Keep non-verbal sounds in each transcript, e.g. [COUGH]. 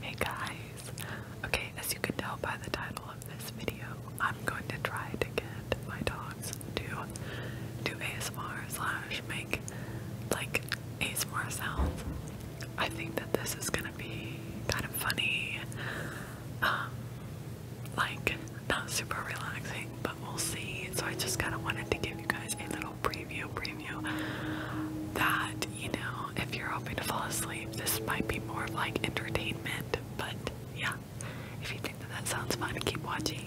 Hey guys! Okay, as you can tell by the title of this video, I'm going to try to get my dogs to do ASMR slash make like ASMR sounds. I think that this is gonna be kind of funny, um, like not super relaxing, but we'll see. So I just kind of wanted to give you guys a little preview, preview that, you know, if you're hoping to fall asleep, this might be more of like entertainment, but yeah, if you think that that sounds fun, keep watching.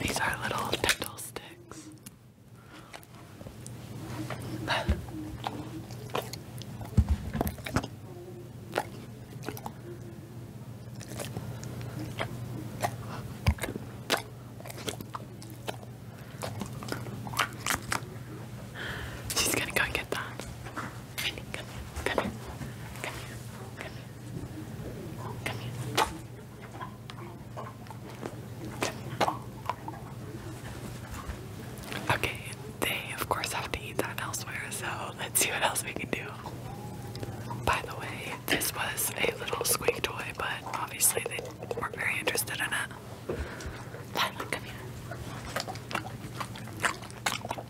These are little dental sticks. She's gonna go get that. Okay, they of course have to eat that elsewhere, so let's see what else we can do. By the way, this was a little squeak toy, but obviously they were very interested in it. come here.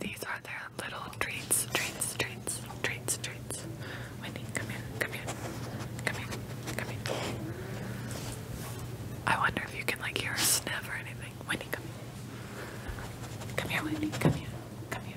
These are their little treats, treats, treats, treats, treats. Wendy, come here, come here, come here, come here. I wonder if you can like hear a sniff or anything. Wendy, come here. Come here, Wendy, come here, come here,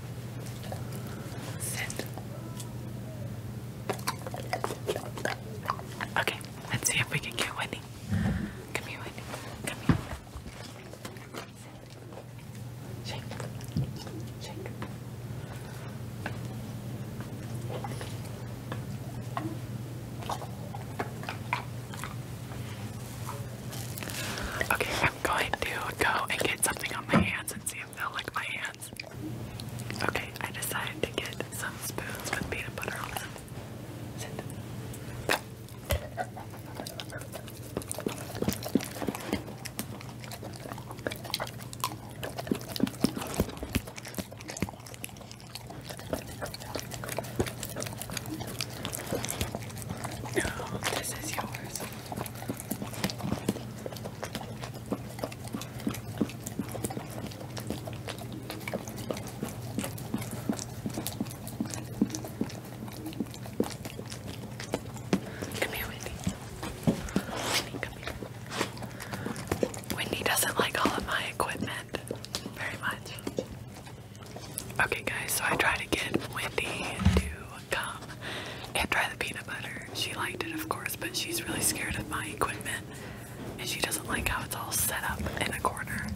Sit. Okay, let's see if we can get Whitney. Come here, Whitney. Come here. Shake. Shake. Okay, I'm going to go and get something on my hands and see if they'll lick my hands. Okay, I decided to get some spoons with peanut butter on them. No, this is yours. Come here, Wendy. Wendy, come here. Wendy doesn't like all of my equipment very much. Okay, guys, so I try to get Wendy to gum and try the peanut butter. She liked it, of course, but she's really scared of my equipment and she doesn't like how it's all set up in a corner.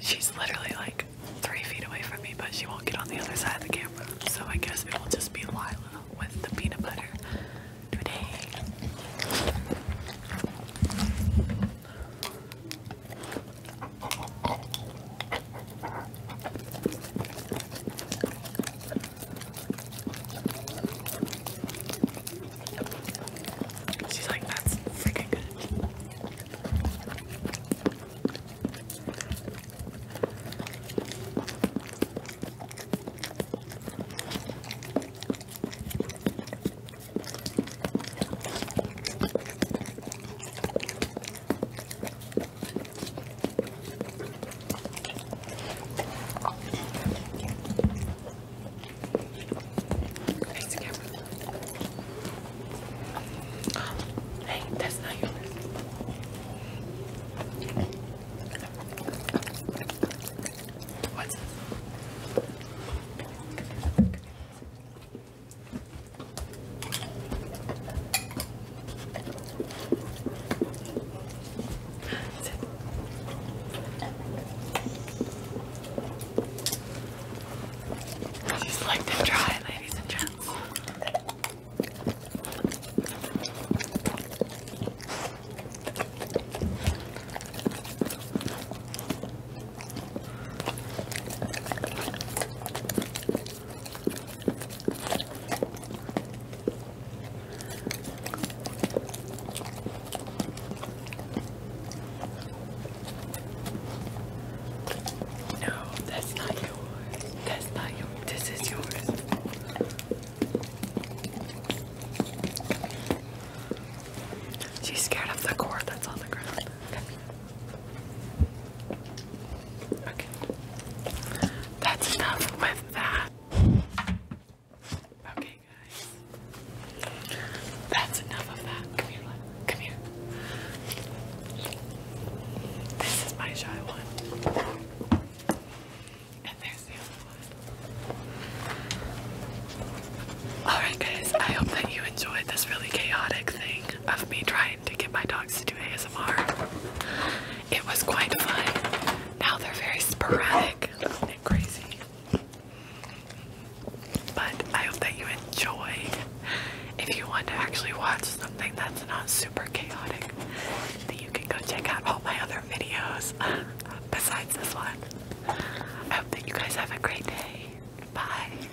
She's literally like three feet away from me, but she won't get on the other side of the camera. So I guess it will just be Lila with the peanut butter today. She's like, that's freaking good. Face the camera. Hey, that's not yours. What's this? She's like to dry, ladies and gents. No, that's not yours. That's not yours. This is yours. She's scared of the cord that's on the ground. Okay. That's enough with that. Okay, guys. That's enough of that. Come here, Come here. This is my shy one. And there's the other one. Alright, guys. I hope that you enjoyed this really chaotic thing of me trying to get my dog to do ASMR. It was quite fun. Now they're very sporadic and crazy. But I hope that you enjoy. If you want to actually watch something that's not super chaotic, then you can go check out all my other videos [LAUGHS] besides this one. I hope that you guys have a great day. Bye.